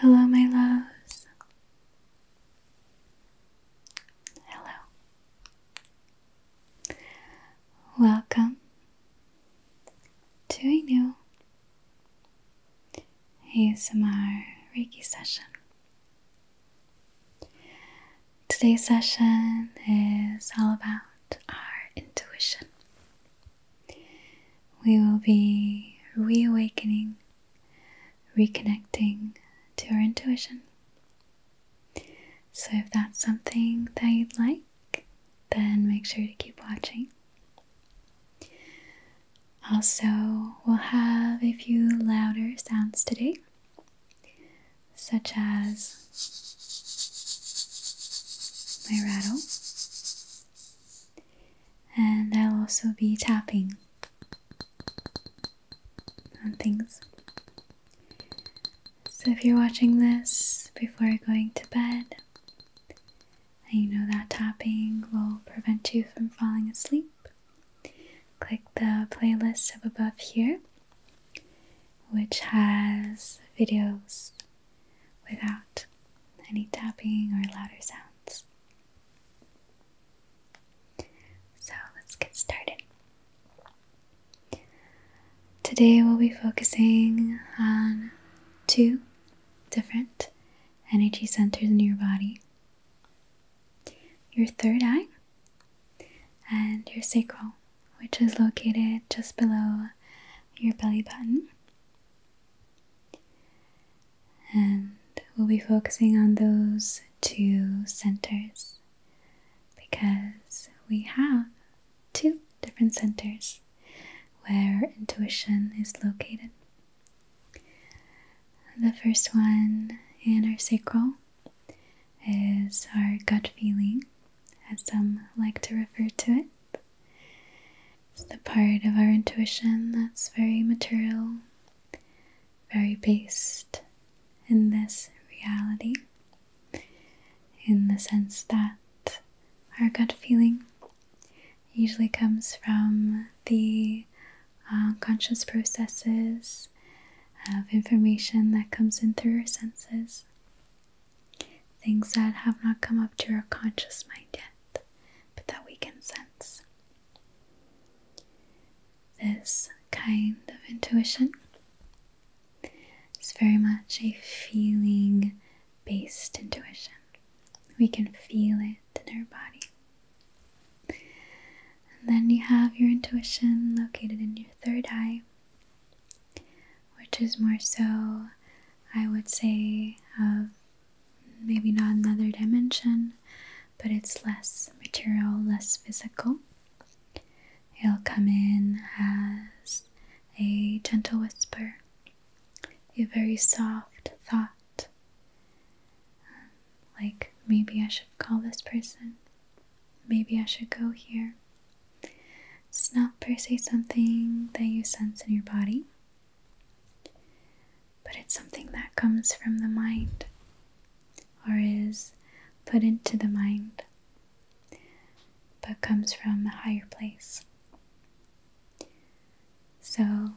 Hello, my loves. Hello. Welcome to a new ASMR Reiki session. Today's session is all about our intuition. We will be reawakening, reconnecting to our intuition. So, if that's something that you'd like, then make sure to keep watching. Also, we'll have a few louder sounds today, such as my rattle, and I'll also be tapping on things. So if you're watching this before going to bed, and you know that tapping will prevent you from falling asleep, click the playlist up above here, which has videos without any tapping or louder sounds. So let's get started. Today we'll be focusing on two different energy centers in your body your third eye and your sacral, which is located just below your belly button and we'll be focusing on those two centers because we have two different centers where intuition is located. The first one in our sacral is our gut feeling, as some like to refer to it. It's the part of our intuition that's very material, very based in this reality, in the sense that our gut feeling usually comes from the uh, conscious processes of information that comes in through our senses. Things that have not come up to our conscious mind yet, but that we can sense. This kind of intuition is very much a feeling based intuition. We can feel it in our body. And then you have your intuition located in your third eye, which is more so, I would say, of maybe not another dimension, but it's less material, less physical. It'll come in as a gentle whisper, a very soft thought, um, like maybe I should call this person, maybe I should go here. It's not per something that you sense in your body, but it's something that comes from the mind or is put into the mind but comes from a higher place. So,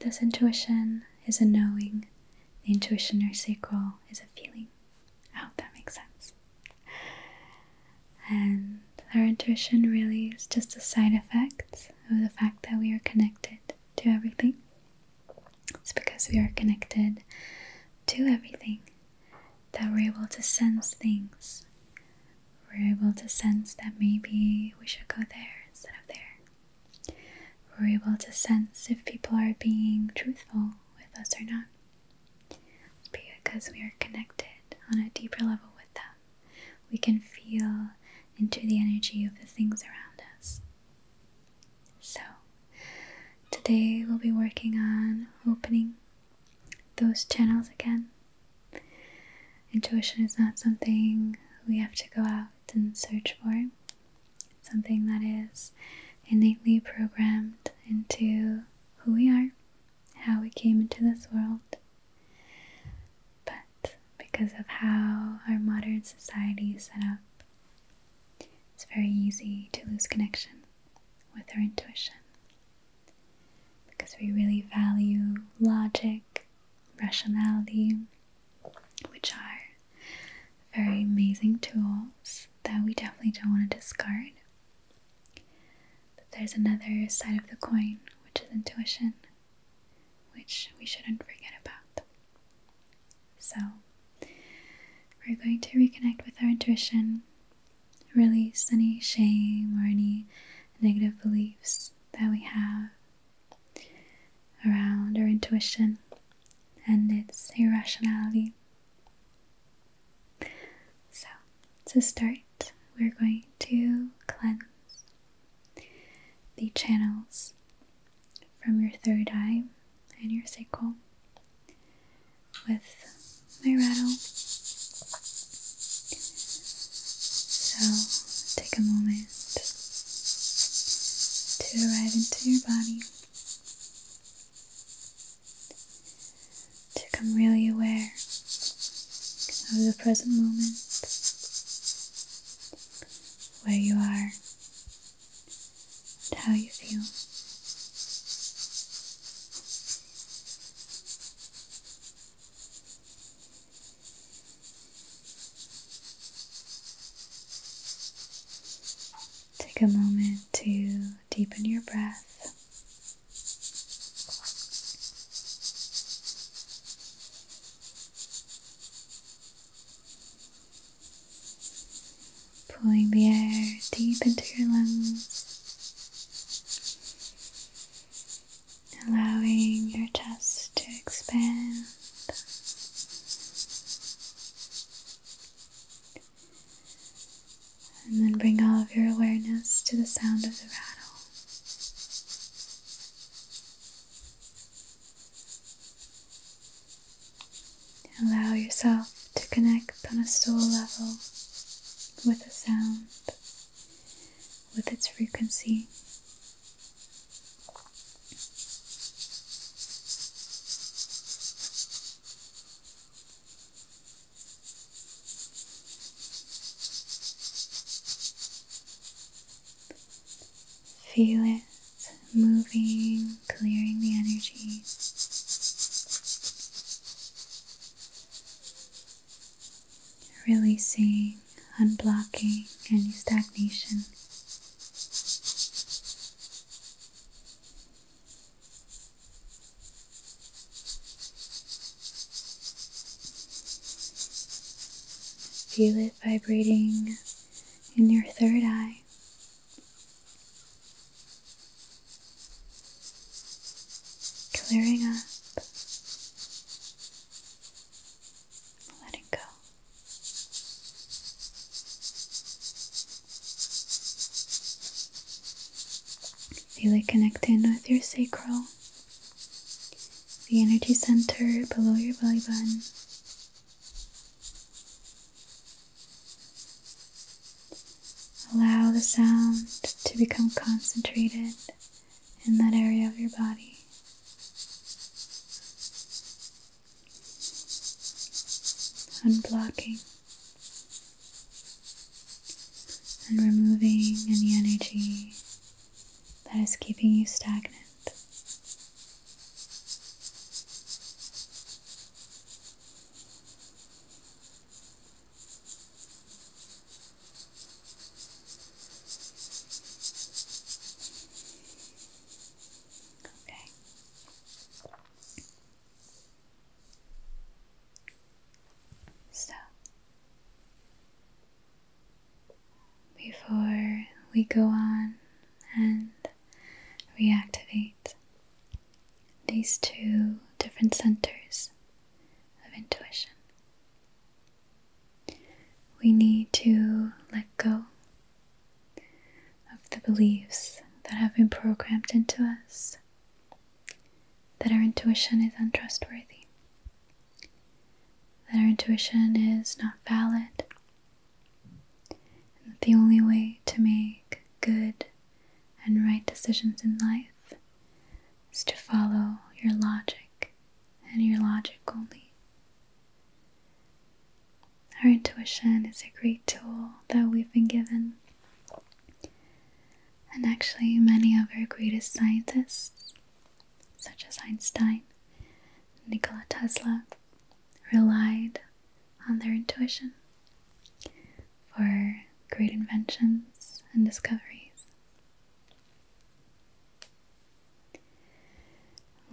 this intuition is a knowing, the intuition or sacral is a feeling. I hope that makes sense. And our intuition really is just a side effect of the fact that we are connected to everything. It's because we are connected to everything that we're able to sense things. We're able to sense that maybe we should go there instead of there. We're able to sense if people are being truthful with us or not. Because we are connected on a deeper level with them, we can feel into the energy of the things around us. So, today we'll be working on opening those channels again. Intuition is not something we have to go out and search for, it's something that is innately programmed into who we are how we came into this world, but because of how our modern society is set up, it's very easy to lose connection with our intuition because we really value logic, rationality, which are very amazing tools that we definitely don't want to discard. But there's another side of the coin, which is intuition, which we shouldn't forget about. So, we're going to reconnect with our intuition, release any shame or any negative beliefs that we have around our intuition and its irrationality. So, to start, we're going to cleanse the channels from your third eye and your sacral with my rattle. So, take a moment to arrive into your body to become really aware of the present moment where you are and how you feel. Take a moment to deepen your breath Pulling the air deep into your lungs, allowing your chest to expand. And then bring all of your awareness to the sound of the rattle. Allow yourself to connect on a soul level with the sound, with its frequency. Feel it moving, clearing the energy. Releasing, unblocking any stagnation. Feel it vibrating in your third eye. Clearing up, letting go. Feel it connecting with your sacral, the energy center below your belly button. Allow the sound to become concentrated in that area of your body. Unblocking and removing any energy that is keeping you stagnant. Okay. So, before we go on and reactivate these two different centers of intuition, we need to let go of the beliefs that have been programmed into us that our intuition is untrustworthy, that our intuition is not valid, and that the only way to make good and right decisions in life is to follow your logic and your logic only. Our intuition is a great tool that we've been given and actually, many of our greatest scientists, such as Einstein and Nikola Tesla, relied on their intuition for great inventions and discoveries.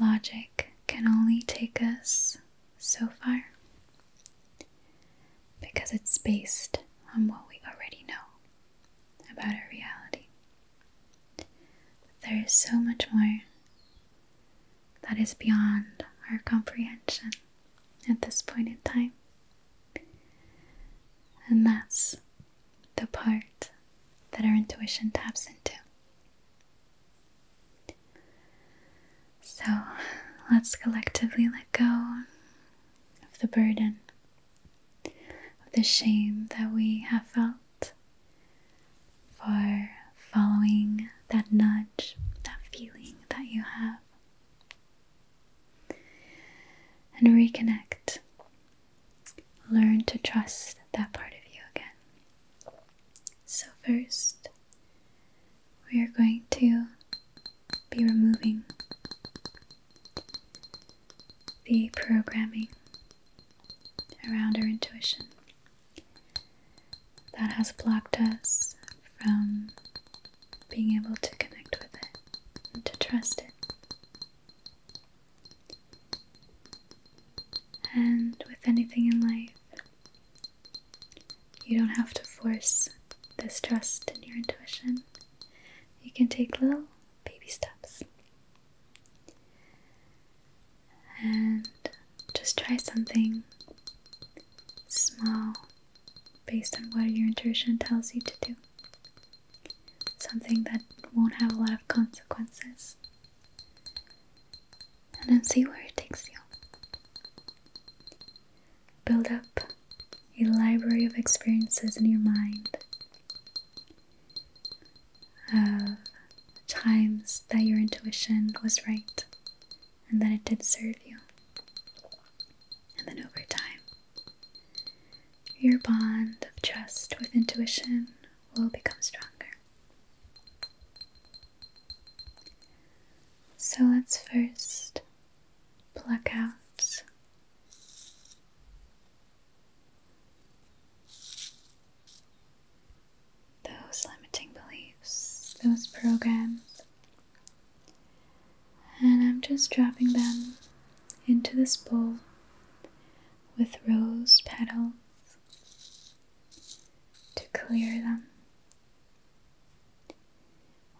Logic can only take us so far because it's based on what we already know about our reality. there is so much more that is beyond our comprehension at this point in time. And that's the part that our intuition taps into. So let's collectively let go of the burden, of the shame that we have felt for following that nudge, that feeling that you have, and reconnect. Learn to trust that part of you again. So, first, we are going to be removing the programming around our intuition that has blocked us from being able to connect with it and to trust it. And with anything in life, you don't have to force this trust in your intuition. You can take little baby steps. And just try something small based on what your intuition tells you to do. Something that won't have a lot of consequences and then see where it takes you. Build up a library of experiences in your mind of times that your intuition was right and that it did serve you. And then over time, your bond of trust with intuition will become stronger. So let's first pluck out those limiting beliefs, those programs, and I'm just dropping them into this bowl with rose petals to clear them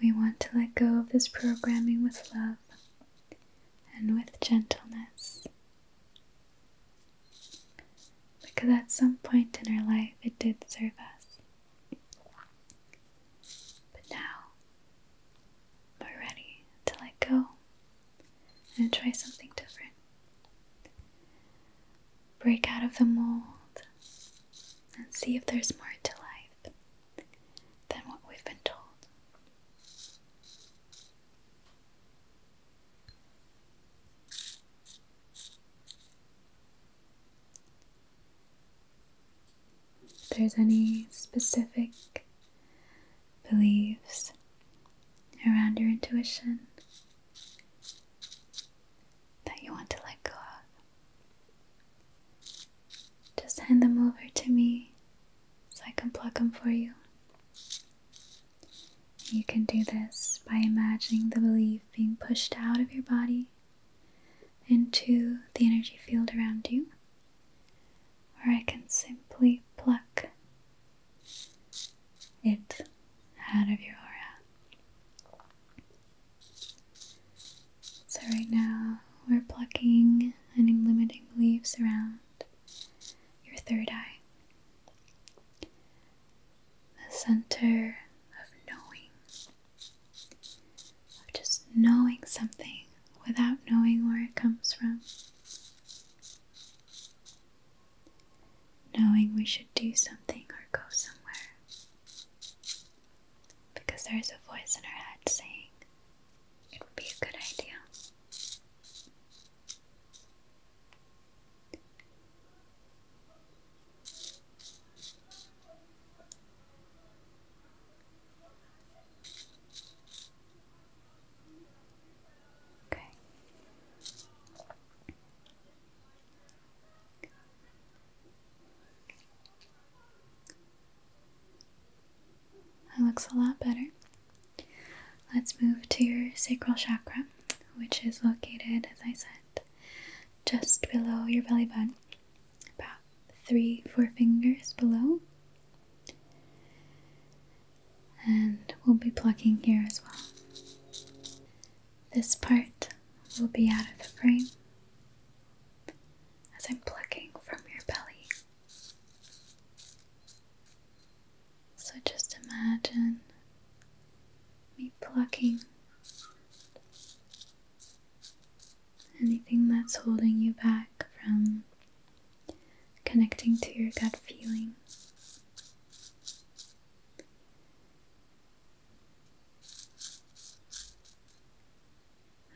we want to let go of this programming with love and with gentleness. Because at some point in our life it did serve us. But now we're ready to let go and try something different break out of the mold and see if there's more to life than what we've been told. there's any specific beliefs around your intuition, that you want to let go of. Just hand them over to me so I can pluck them for you. You can do this by imagining the belief being pushed out of your body into the energy field around you, or I can simply pluck it out of your aura. So, right now, we're plucking any limiting beliefs around your third eye, the center of knowing, of just knowing something without knowing where it comes from knowing we should do something or go somewhere. Because there is a voice in our head saying it would be a good idea. Okay. That looks a lot better. Let's move to your sacral chakra, which is located, as I said, just below your belly button, about three, four fingers below. And we'll be plucking here as well. This part will be out of the frame as I'm plucking from your belly. So just imagine me plucking anything that's holding you back from connecting to your gut feeling.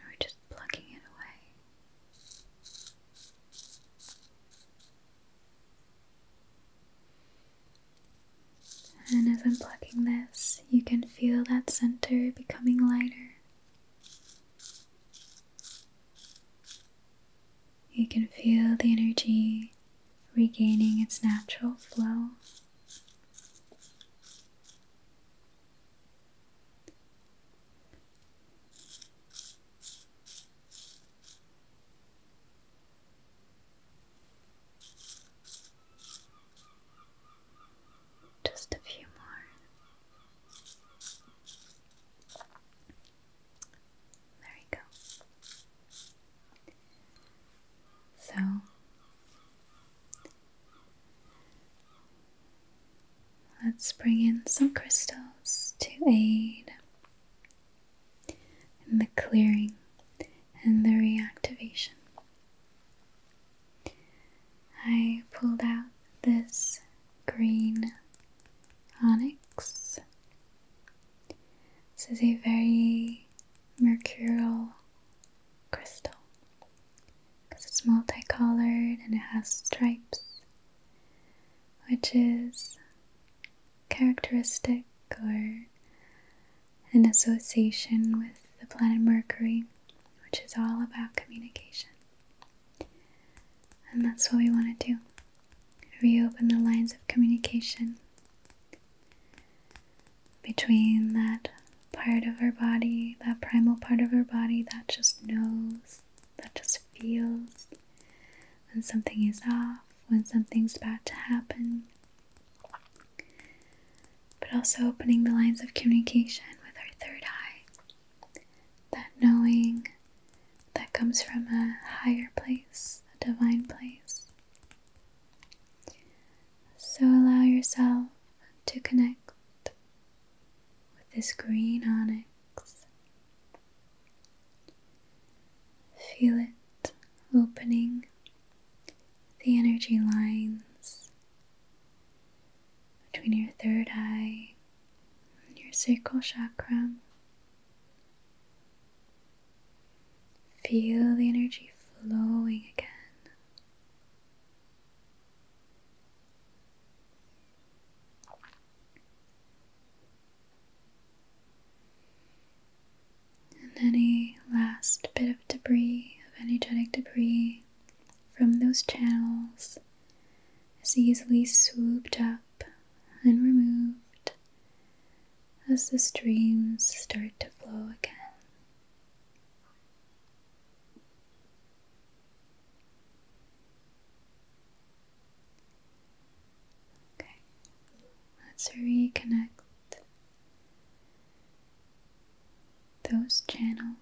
And we're just plucking it away. And as I'm plugging this, you can feel that center becoming lighter. You can feel the energy regaining its natural flow. Just a few more. There we go. So let's bring in some crystals to aid in the clearing and the reactivation. I pulled out this green onyx this is a very mercurial crystal because it's multicolored and it has stripes, which is characteristic or an association with the planet Mercury, which is all about communication. And that's what we want to do reopen the lines of communication between that part of our body, that primal part of our body that just knows, that just feels when something is off, when something's about to happen. But also opening the lines of communication with our third eye. That knowing that comes from a higher place, a divine place. So allow yourself to connect with this green onyx. Feel it opening the energy lines between your third eye and your sacral chakra. Feel the energy flowing again. And any last bit of debris, of energetic debris from those channels is easily swooped up and removed as the streams start to flow again. Okay, let's reconnect those channels.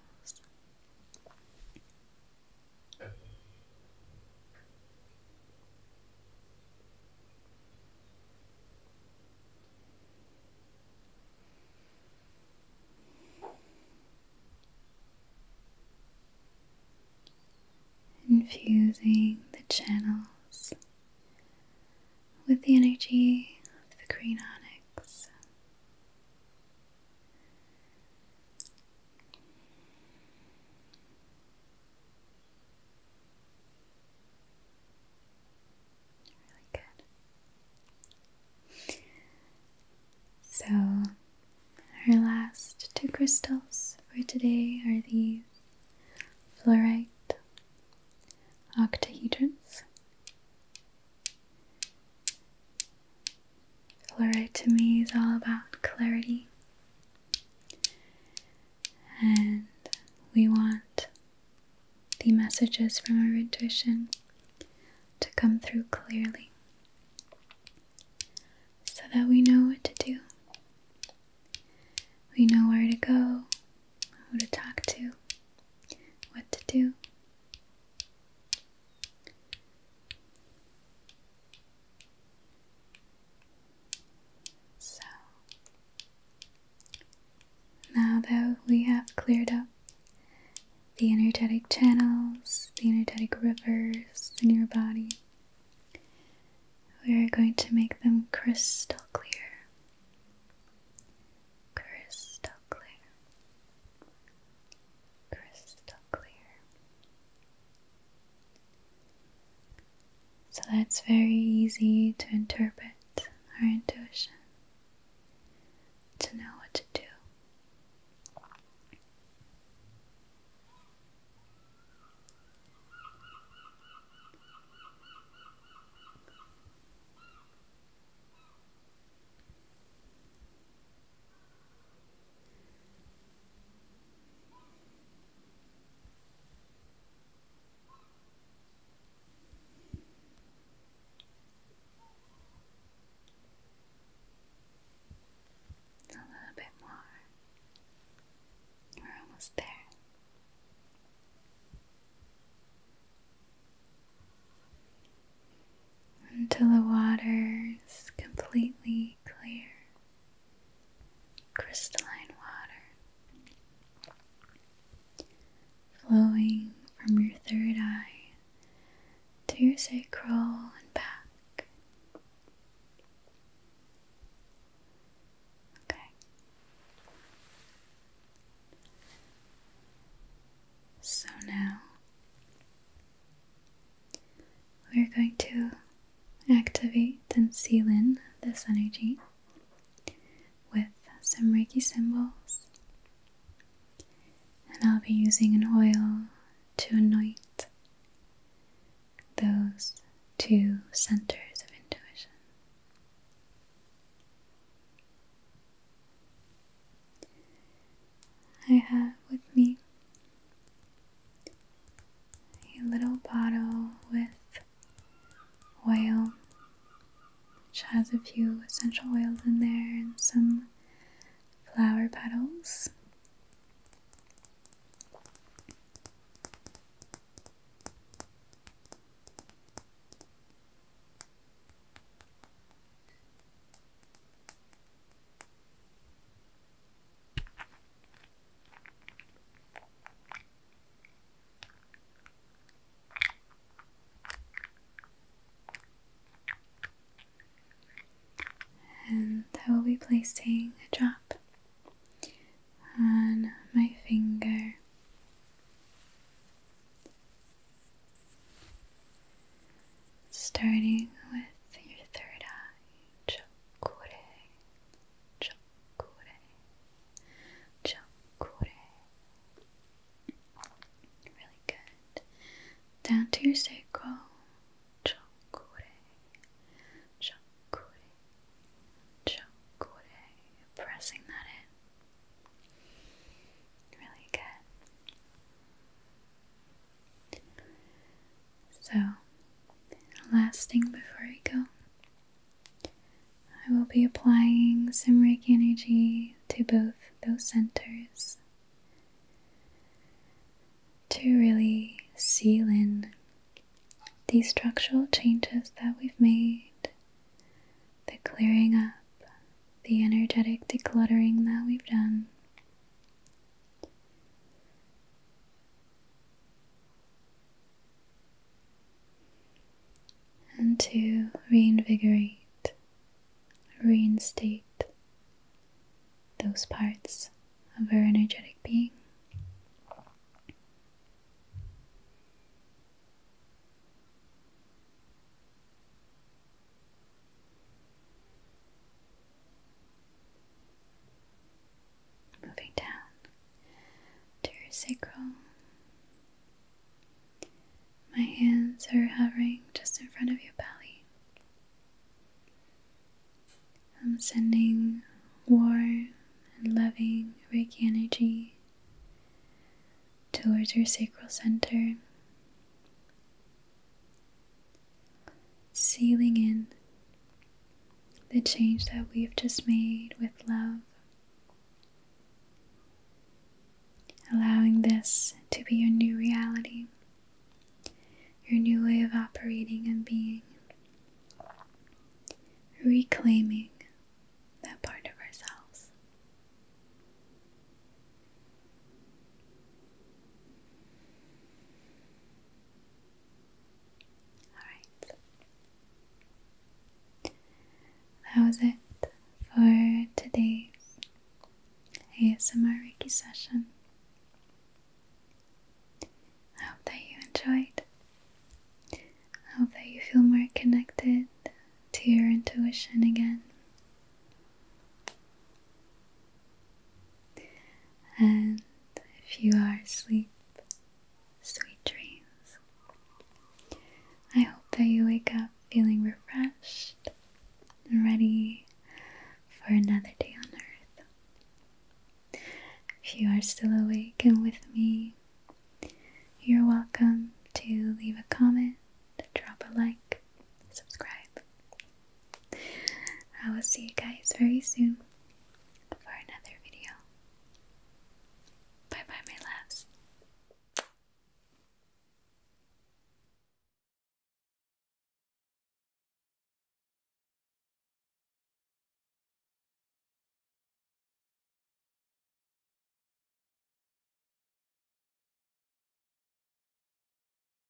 Infusing the channels with the energy of the green onyx. So, our last two crystals for today are these fluorite octahedrons. Fluorite to me is all about clarity and we want the messages from our intuition to come through clearly so that we know what to do. We know where to go, who to talk to, what to do. So, now that we have cleared up the energetic channels, the energetic rivers in your body, we are going to make them crystal clear. Crystal clear. Crystal clear. So that's very easy to interpret our intuition, to know what to do. A little bit more. We're almost there. Until the water is completely clear crystalline water flowing from your third eye to your sacral and back. Okay. So now we're going to activate and seal in this energy with some Reiki symbols. And I'll be using an oil to anoint those two centers of intuition. I have with me a little bottle with oil, which has a few essential oils in there and some flower petals. And I will be placing a drop on my finger. Starting with your third eye, chakure, chakure, chakure. Really good. Down to your sacrum. chakure, chakure, chakure. Pressing that in. Really good. So, last thing before I go, I will be applying some Reiki energy to both those centers to really seal in these structural changes that we've made, the clearing up, the energetic decluttering that we've done, and to reinvigorate, reinstate those parts of our energetic being. Moving down to your sacrum, My hands are hovering just in front of your belly. I'm sending warm and loving Reiki energy towards your sacral center sealing in the change that we've just made with love, allowing this to be your new reality, your new way of operating and being, reclaiming that part of ourselves. Alright. That was it for today's ASMR Reiki session. I hope that you enjoyed. I hope that you feel more connected to your intuition again. And if you are asleep, sweet dreams. I hope that you wake up feeling refreshed and ready for another day on earth. If you are still awake and with me, you're welcome to leave a comment, drop a like, subscribe, I will see you guys very soon for another video. Bye bye, my loves.